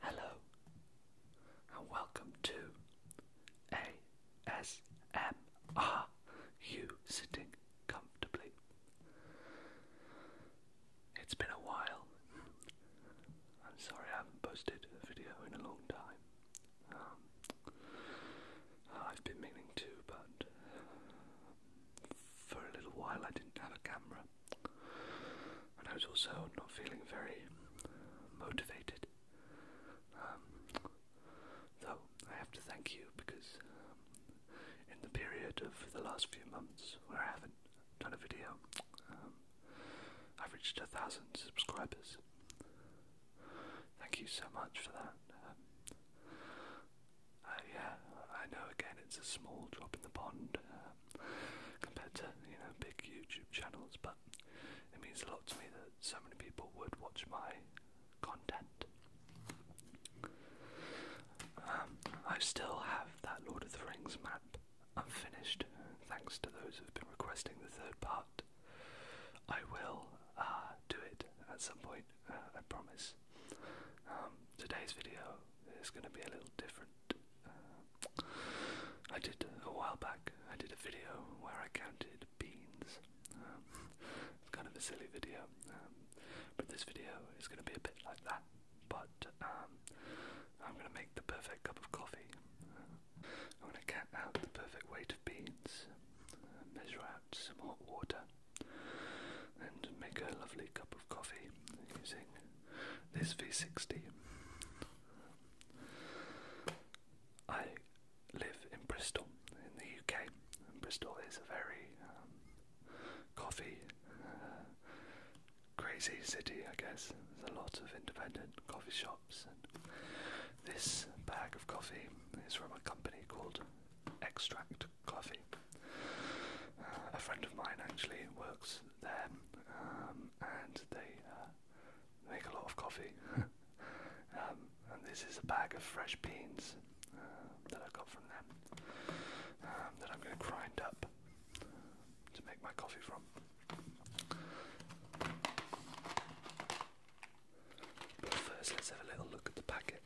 Hello, and welcome to ASMR. You sitting comfortably. It's been a while. I'm sorry I haven't posted a video in a long time. Um, I've been meaning to, but for a little while I didn't have a camera, and I was also not feeling very motivated. Um, though I have to thank you because um, in the period of the last few months where I haven't done a video, um, I've reached a thousand subscribers. Thank you so much for that. yeah, uh, I know again it's a small drop in the pond, uh, compared to you know big YouTube channels, but it means a lot to me that so many people would watch my content. Um, I still have that Lord of the Rings map unfinished, thanks to those who've been requesting the third part. I will uh, do it at some point, uh, I promise. Um, today's video it's going to be a little different. Uh, I did a while back. I did a video where I counted beans. Um, it's kind of a silly video, um, but this video is going to be a bit like that. But um, I'm going to make the perfect cup of coffee. Uh, I'm going to count out the perfect weight of beans, uh, measure out some hot water, and make a lovely cup of coffee using this V60. I live in Bristol in the UK, Bristol is a very um, coffee uh, crazy city, I guess. There's a lot of independent coffee shops, and this bag of coffee is from a company called Extract Coffee. Uh, a friend of mine actually works there, um, and they uh, make a lot of coffee. Um, and this is a bag of fresh beans uh, that I got from them um, that I'm going to grind up to make my coffee from. But first, let's have a little look at the packet.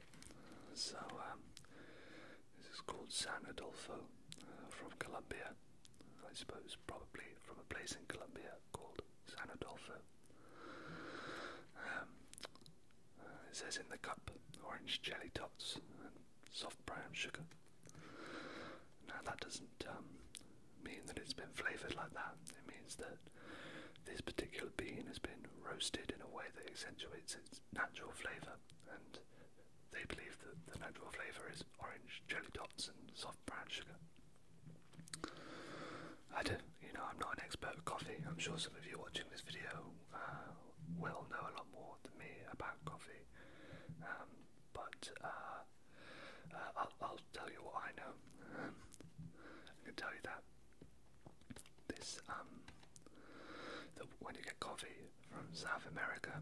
So, this is called San Adolfo uh, from Colombia. I suppose probably from a place in Colombia called San Adolfo. Um, uh, it says in the cup orange jelly tots and soft brown sugar. Now that doesn't um, mean that it's been flavoured like that. It means that this particular bean has been roasted in a way that accentuates its natural flavour and they believe that the natural flavour is orange jelly dots and soft brown sugar. I don't, you know, I'm not an expert at coffee. I'm sure some of you watching this video uh, will know a lot more than me about coffee. Um, but uh, uh, I'll, tell you what I know. I can tell you that this um, that when you get coffee, from South America.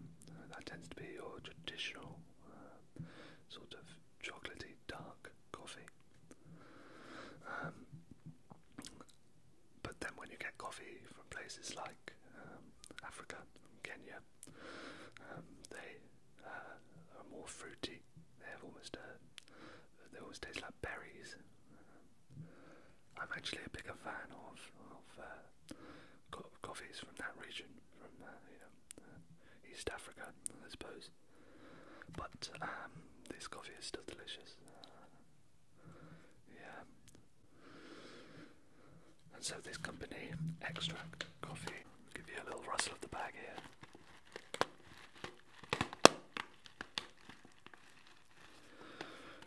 that tends to be your traditional uh, sort of chocolatey dark coffee. Um, but then when you get coffee from places like um, Africa, Kenya, um, they uh, are more fruity. They have almost a, they almost taste like berries. I'm actually a bigger fan of, of uh, co coffees from that region, from uh, East Africa, I suppose. But um, this coffee is still delicious. Uh, yeah. And so this company, Extract Coffee, give you a little rustle of the bag here.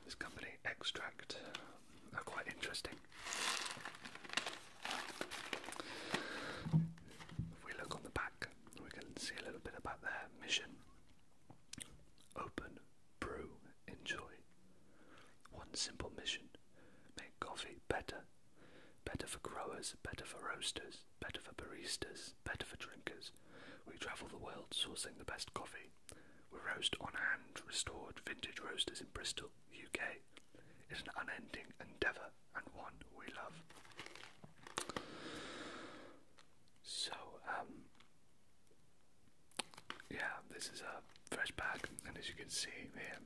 This company, Extract, they are quite interesting. If we look on the back, we can see a little bit about their mission. Open, brew, enjoy. One simple mission make coffee better. Better for growers, better for roasters, better for baristas, better for drinkers. We travel the world sourcing the best coffee we roast on hand restored vintage roasters in Bristol, UK. It's an unending endeavour and one we love. So, um, yeah, this is a fresh bag, and as you can see here,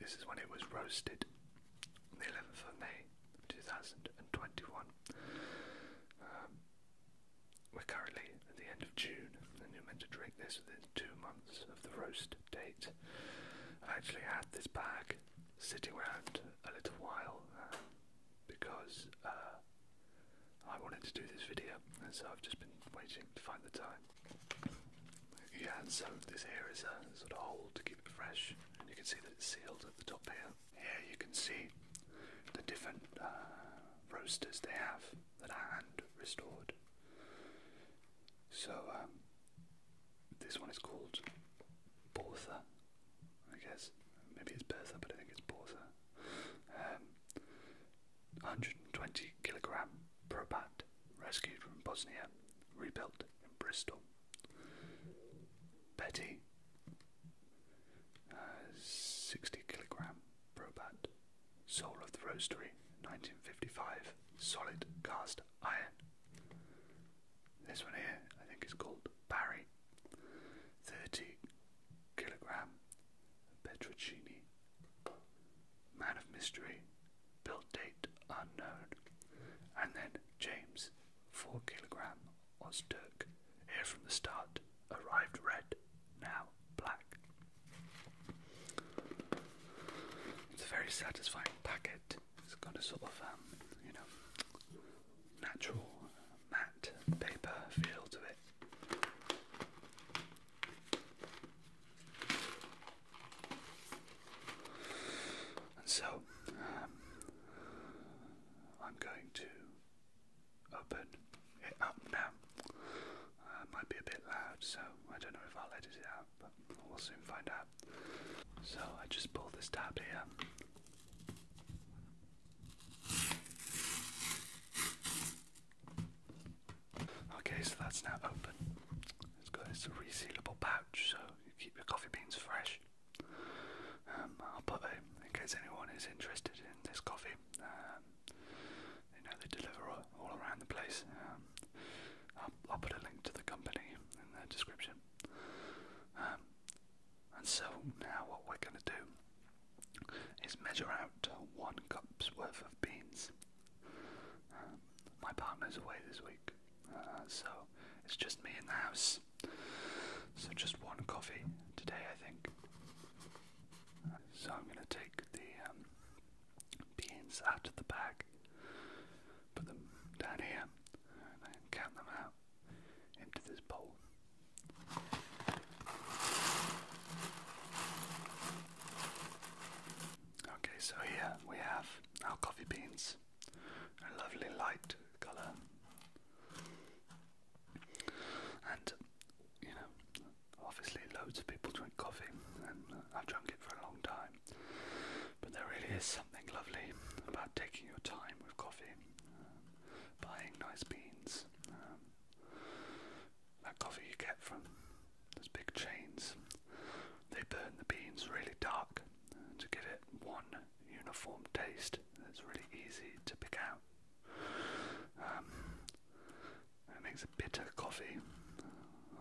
this is when it was roasted the 11th of May 2021. Um, we're currently at the end of June, and you're meant to drink this within two months of the roast date. I actually had this bag sitting around a little while uh, because uh, I wanted to do this video, and so I've just been waiting to find the time. Yeah, so this here is a sort of hole to keep it fresh, and you can see that it's sealed at the top here. Here you can see the different uh, roasters they have that are hand restored. So um, this one is called Bortha, I guess. Maybe it's Bertha, but I think it's Bortha. Um, 120 kilogram probat rescued from Bosnia, rebuilt in Bristol. Betty, uh, 60 kilogram probat Soul of the Roastery, 1955, solid cast iron. This one here, I think, is called Barry, 30 kilogram Petruccini. Man of Mystery, build date unknown. And then James, 4 kilogram Ozturk, here from the start, arrived red, now black. It's a very satisfying packet. It's got a sort of, um, you know, natural matte paper feel to it. so, um, I'm going to open it up now. Uh, might be a bit loud, so I don't know if I'll edit it out, but we'll soon find out. So I just pull this tab here. Okay, so that's now open. It's got it's a resealable pouch, so you keep your coffee beans fresh. Um, I'll put a, in case anyone is interested in this coffee, uh, you know, they deliver all, around the place. Um, I'll, put a link to the company in the description. Um, and so now what we're going to do is measure out one cup's worth of beans. Um, my partner's away this week, uh, so it's just me in the house. So just one coffee today, I think. So I'm going to take the beans out of the bag, put them down here, and then count them out into this bowl. Okay, so here we have our coffee beans, a lovely light colour. And you know, obviously loads of people drink coffee, and I've uh, drunk it for a long time. But there really is something lovely about taking your time with coffee, uh, buying nice beans. Um, that coffee you get from those big chains, they burn the beans really dark uh, to give it one uniform taste that's really easy to pick out. Um, it makes a bitter coffee.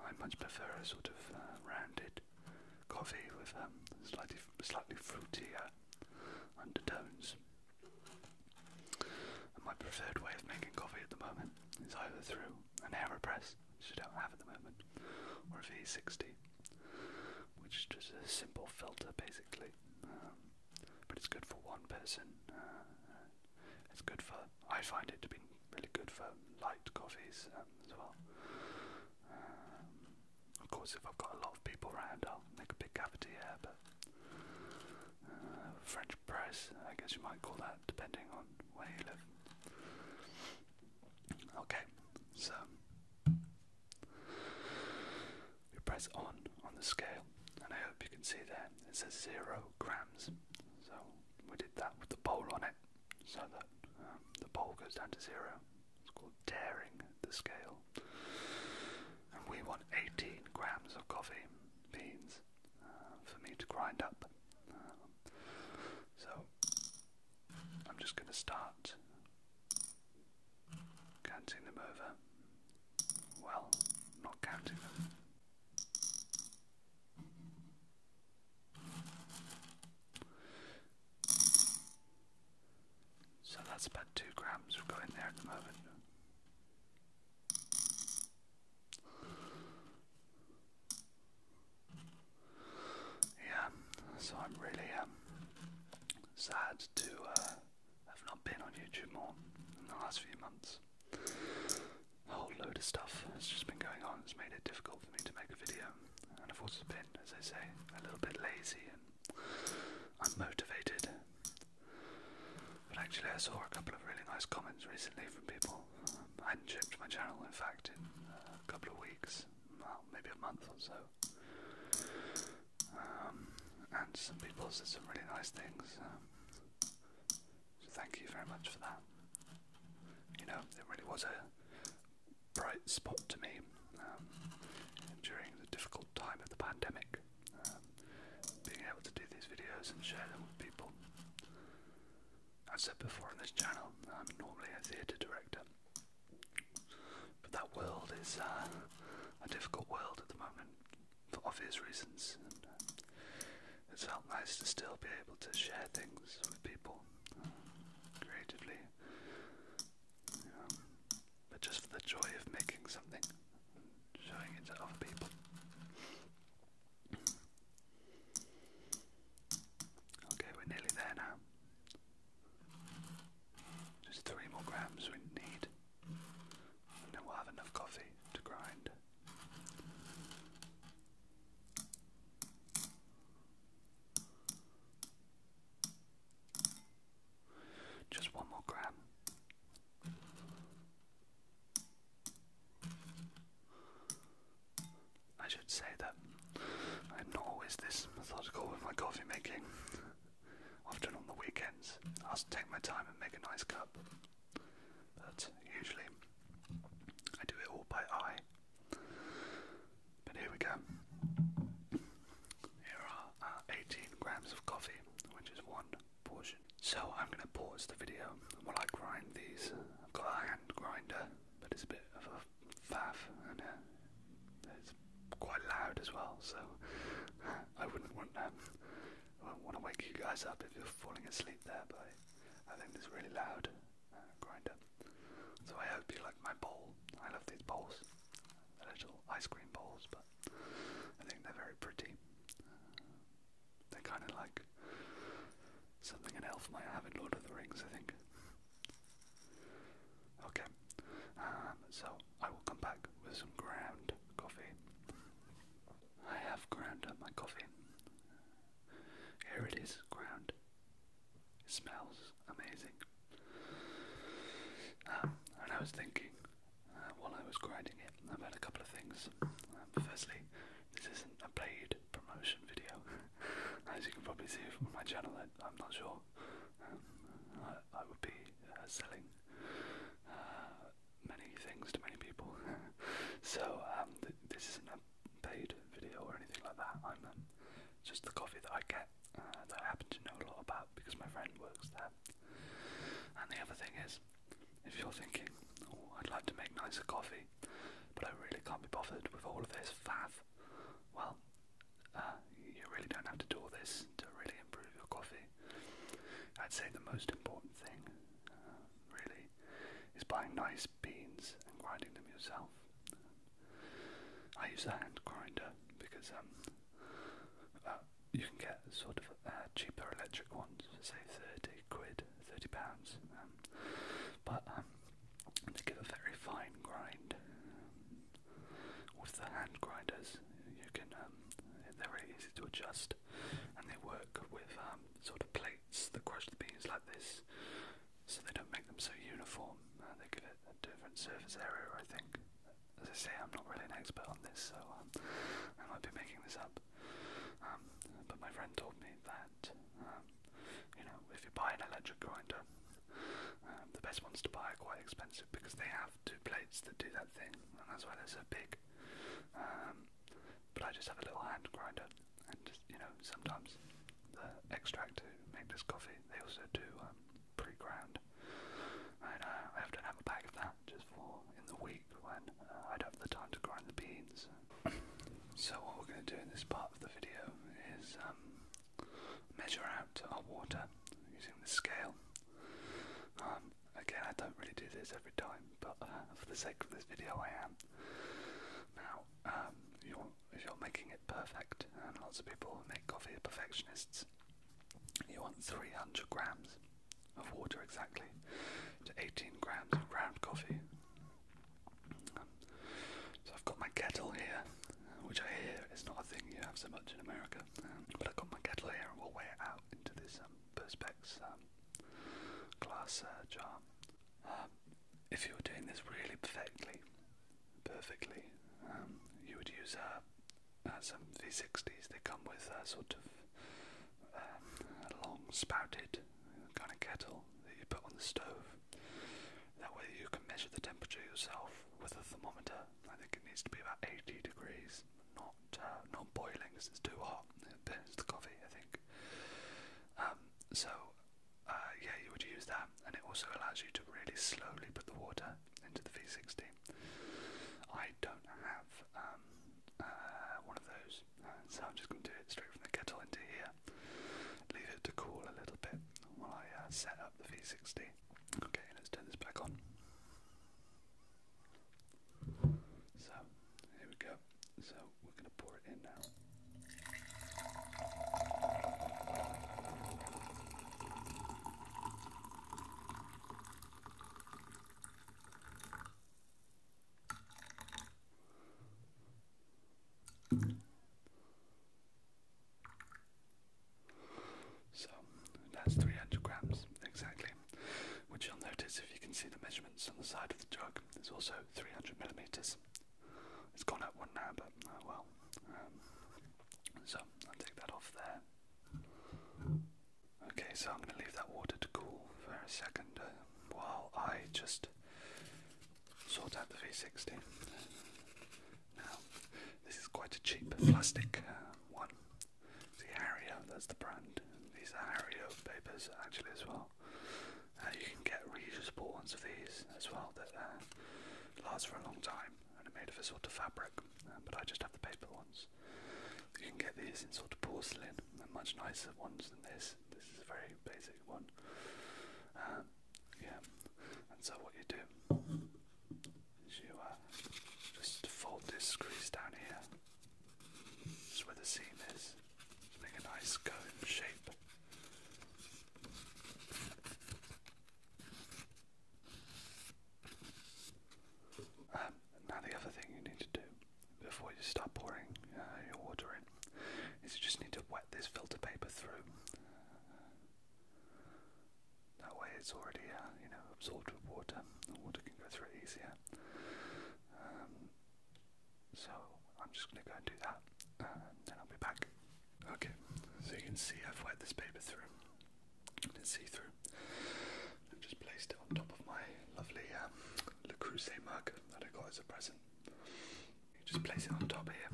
I much prefer a sort of uh, rounded coffee with um, slightly, slightly fruitier undertones. my preferred way of making coffee at the moment is either through an AeroPress, which I don't have at the moment, or a V60, which is just a simple filter basically. Um, but it's good for one person. Uh, it's good for, I find it to be really good for light coffees um, as well. Um, of course, if I've got a lot of people around, I'll make a big cafetiere, but uh, French press, I guess you might call that, depending on where you live. Okay, so you press on on the scale, and I hope you can see there it says zero grams. So we did that with the bowl on it, so that um, the bowl goes down to zero. It's called daring the scale. And we want 18 grams of coffee beans uh, for me to grind up. so I'm just going to start counting them over. Well, not counting them. So that's about two grams we've got in there at the moment. Yeah, so I'm really um, sad to uh, have not been on YouTube more in the last few months a whole load of stuff has just been going on. It's made it difficult for me to make a video, and of course, I've been, as I say, a little bit lazy and unmotivated. But actually, I saw a couple of really nice comments recently from people. Um, I hadn't checked my channel, in fact, in uh, a couple of weeks, well, maybe a month or so. Um, and some people said some really nice things. Um, so thank you very much for that. You know, it really was a bright spot to me um, during the difficult time of the pandemic. Um, being able to do these videos and share them with people. i said before on this channel, I'm normally a theatre director, but that world is uh, a difficult world at the moment for obvious reasons. And, uh, felt nice to still be able to share things with people um, creatively, um, but just for the joy of making something showing it to other people. Okay, we're nearly there now. Just three more grams we need, and then we'll have enough coffee to grind. Just one more grab. I should say that I'm not always this methodical with my coffee making. Often on the weekends, I'll take my time and make a nice cup but usually I do it all by eye. But here we go. Here are uh, 18 grams of coffee, which is one portion. So I'm going to pause the video while I grind these. I've got a hand grinder, but it's a bit of a faff and uh, it's quite loud as well, so I wouldn't want that. I want to wake you guys up if you're falling asleep there, but I, think it's really loud uh, grinder. So I hope you like my bowl. I love these bowls, the little ice cream bowls, but I think they're very pretty. they're kind of like something an elf might have in Lord of the Rings, I think. Okay, um, so I will come back with some ground coffee. I have ground up my coffee. Here it is, ground. It smells amazing. Um, and I was thinking uh, while I was grinding it about a couple of things. Um, firstly, this isn't a paid promotion video. As you can probably see from my channel, I, am not sure. Um, I, would be uh, selling uh, many things to many people. so um, this isn't a paid video or anything like that. I'm um, just the coffee that I get uh, that I happen to know a lot about because my friend works there. And the other thing is, if you're thinking, oh, I'd like to make nicer coffee, but I really can't be bothered with all of this faff, well, uh, you really don't have to do all this to really improve your coffee. I'd say the most important thing, uh, really, is buying nice beans and grinding them yourself. I use a hand grinder because um, uh, you can get sort of uh, cheaper electric ones for say 30 quid, 30 pounds, um, but um, they give a very fine grind. with the hand grinders, you can they're very easy to adjust crust, and they work with um, sort of plates that crush the beans like this, so they don't make them so uniform. Uh, they give it a different surface area, I think. As I say, I'm not really an expert on this, so um, I might be making this up. Um, but my friend told me that, um, you know, if you buy an electric grinder, um, the best ones to buy are quite expensive because they have two plates that do that thing, and that's why they're so big. Um, but I just have a little hand grinder, and you know, sometimes the extract make this coffee, they also do um, pre-ground. And uh, I often have a bag of that just for in the week when uh, I don't have the time to grind the beans. so what we're going to do in this part of the video is um, measure out our water using the scale. Um, again, I don't really do this every time, but uh, for the sake of this video, I am. Now, um, you if you're making it perfect, and lots of people make coffee perfectionists, you want 300 grams of water exactly to 18 grams of ground coffee. so I've got my kettle here, which I hear is not a thing you have so much in America, um, but I've got my kettle here and we'll weigh it out into this um, perspex um, glass uh, jar. Um, if you were doing this really perfectly, perfectly, um, you would use uh, uh, some V60s. They come with a sort of um, a long spouted kind of kettle that you put on the stove. That way you can measure the temperature yourself with a thermometer. I think it needs to be about 80 degrees, not uh, not boiling because it's too hot. It burns the coffee, I think. Um, so, uh, yeah, you would use that, and it also allows you to really slowly put the water into the V60. I don't have um, uh, one of those, uh, so I'm just going to do it straight from the kettle into here. Leave it to cool a little bit while I uh, set up the V60. Okay, let's turn this back on. So, here we go. So, we're going to pour it in now. So that's 300 grams exactly, which you'll notice if you can see the measurements on the side of the jug. There's also 300 millimeters. It's gone up one now, but oh well. Um, so I'll take that off there. Okay, so I'm going to leave that water to cool for a second uh, while I just sort out the V60. Now, this is quite a cheap plastic uh, one. The Ario, that's the brand. These are papers actually as well. Uh, you can get reusable ones of these as well that uh, last for a long time and are made of a sort of fabric, uh, but I just have the paper ones. You can get these in sort of porcelain, they uh, much nicer ones than this. This is a very basic one. yeah, and so what you do is you just fold this crease down here just where the seam is. make a nice cone shape. Um, now the other thing you need to do before you start pouring uh, your water in is you just need to wet this filter paper through. That way it's already, uh, you know, absorbed with water. The water can go through easier. Um, so I'm just going to go and do that, and then I'll be back. Okay, so you can see I've wet this paper through. You can see through. I've just placed it on top of my lovely um, Le Creuset mug that I got as a present. You just place it on top here.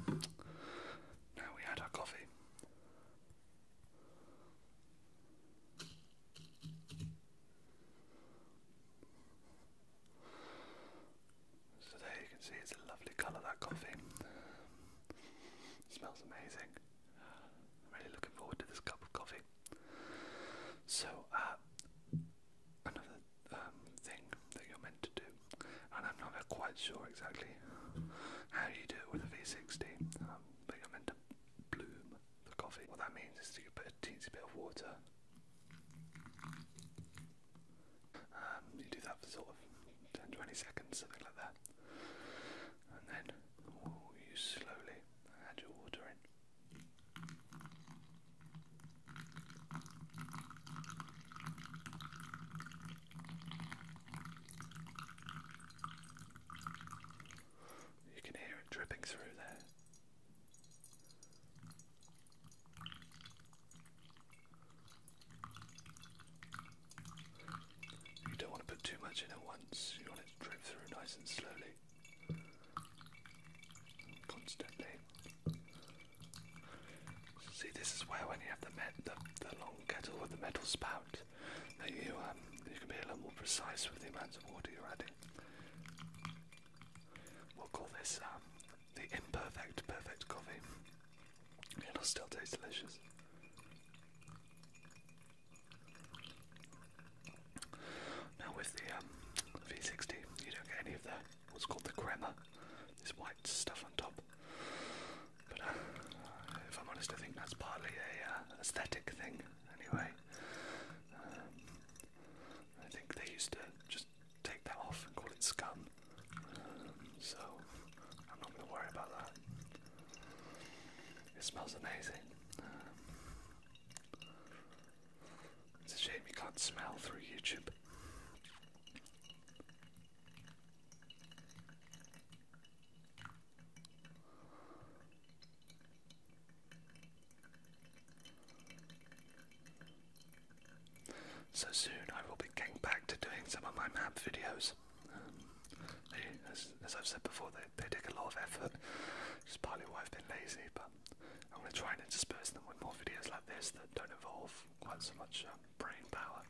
Now we add our coffee. So there you can see it's a lovely colour that coffee. smells amazing. I'm really looking forward to this cup of coffee. So uh, another um, thing that you're meant to do, and I'm not quite sure exactly how you do it with a V60, um, but you're meant to bloom for coffee. What that means is that you put a teensy bit of water. Um, you do that for sort of 10 20 seconds, something like that. And then you slowly add your water in. You can hear it dripping through there. You don't want to put too much in at once, you want it to drip through nice and slowly. Constantly. See, this is where when you have the, the, long kettle with the metal spout, that you um, you can be a little more precise with the amounts of water you're adding. We'll call this um, the imperfect perfect coffee. It'll still taste delicious. Now with the um, V60, you don't get any of the what's called the crema, this white stuff on top. But uh, if I'm honest, I think that's partly a uh, aesthetic thing. Anyway, I think they used to just take that off and call it scum. so I'm not going to worry about that. It smells amazing. it's a shame you can't smell through YouTube. So soon I will be getting back to doing some of my map videos. Um, as, I've said before, they, take a lot of effort. It's partly why I've been lazy, but I'm going to try and intersperse them with more videos like this that don't involve quite so much uh, brain power.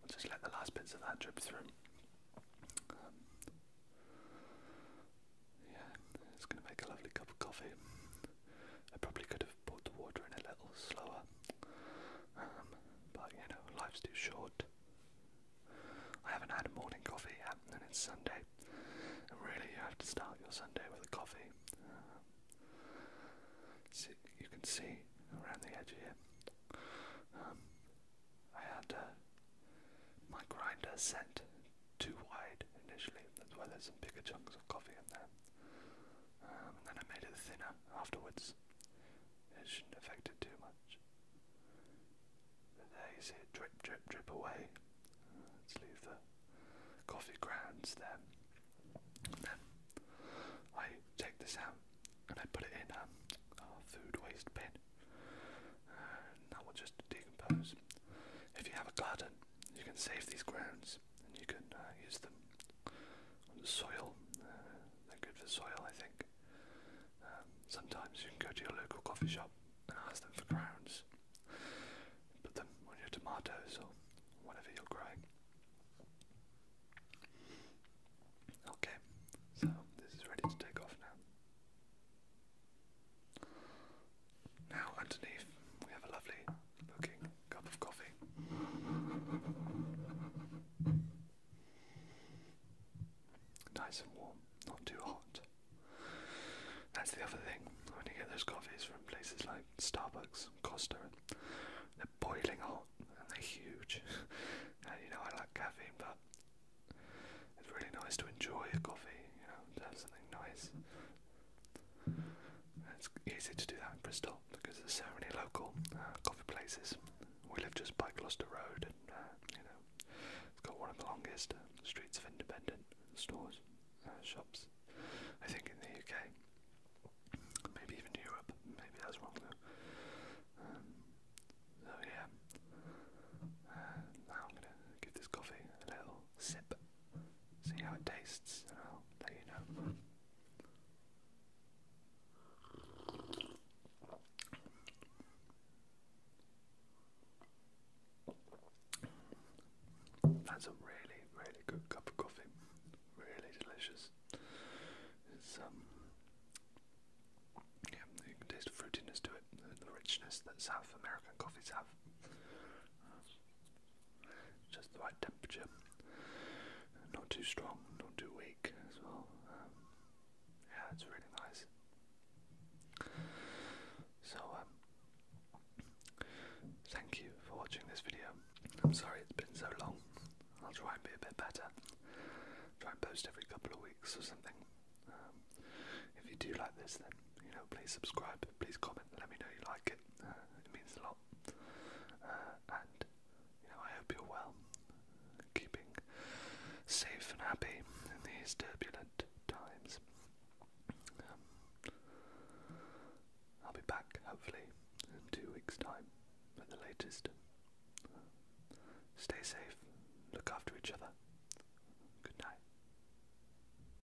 I'll just let the last bits of that drip through. Yeah, it's going to make a lovely cup of coffee. I probably could have poured the water in a little slower, um, but you know, life's too short. I haven't had a morning coffee yet, and it's Sunday. And really, you have to start your Sunday with a coffee. Um, see, you can see around the edge here. Um, I had uh, my grinder set too wide initially, as well as some bigger chunks of coffee in there. Um, and then I made it thinner afterwards. It shouldn't affect it too much. there you see it drip, drip, drip away. Let's leave the coffee grounds there. And then I take this out and I put it in um, food waste bin. And that will just decompose. If you have a garden, you can save these grounds and you can uh, use them on the soil. Uh, they're good for soil, I think. Um, sometimes you can go to your local coffee shop and ask them for grounds. Put them on your tomatoes or whatever you're growing. Okay, so this is ready to take off now. Now, underneath, we have a lovely looking cup of coffee. Nice and warm, not too hot. That's the other thing. When you get those coffees from places like Starbucks, Costa, they're boiling hot and they're huge. and you know I like caffeine, but it's really nice to enjoy a coffee. You know, to have something nice, it's easy to do that in Bristol because there's so many local uh, coffee places. We live just by Gloucester Road, and uh, you know, it's got one of the longest uh, streets of independent stores, shops. I think in the UK, maybe even Europe. Maybe that's wrong um, so yeah, now I'm gonna give this coffee a little sip see how it tastes, and you know. That's a really, really good cup of coffee. Really delicious. Um, yeah, you can taste the fruitiness to it the richness that South American coffees have just the right temperature. Not too strong, not too weak um, yeah, it's really nice. So, um, thank you for watching this video. I'm sorry it's been so long. I'll try and be a bit better. Try and post every couple of weeks or something. Um, if you do like this, then you know, please subscribe, please comment, let me know you like it. Uh, it. means a lot. Uh, and you know, I hope you're well, keeping safe and happy in these turbulent times. Um, I'll be back hopefully in two weeks' time at the latest. stay safe. Look after each other. Good night.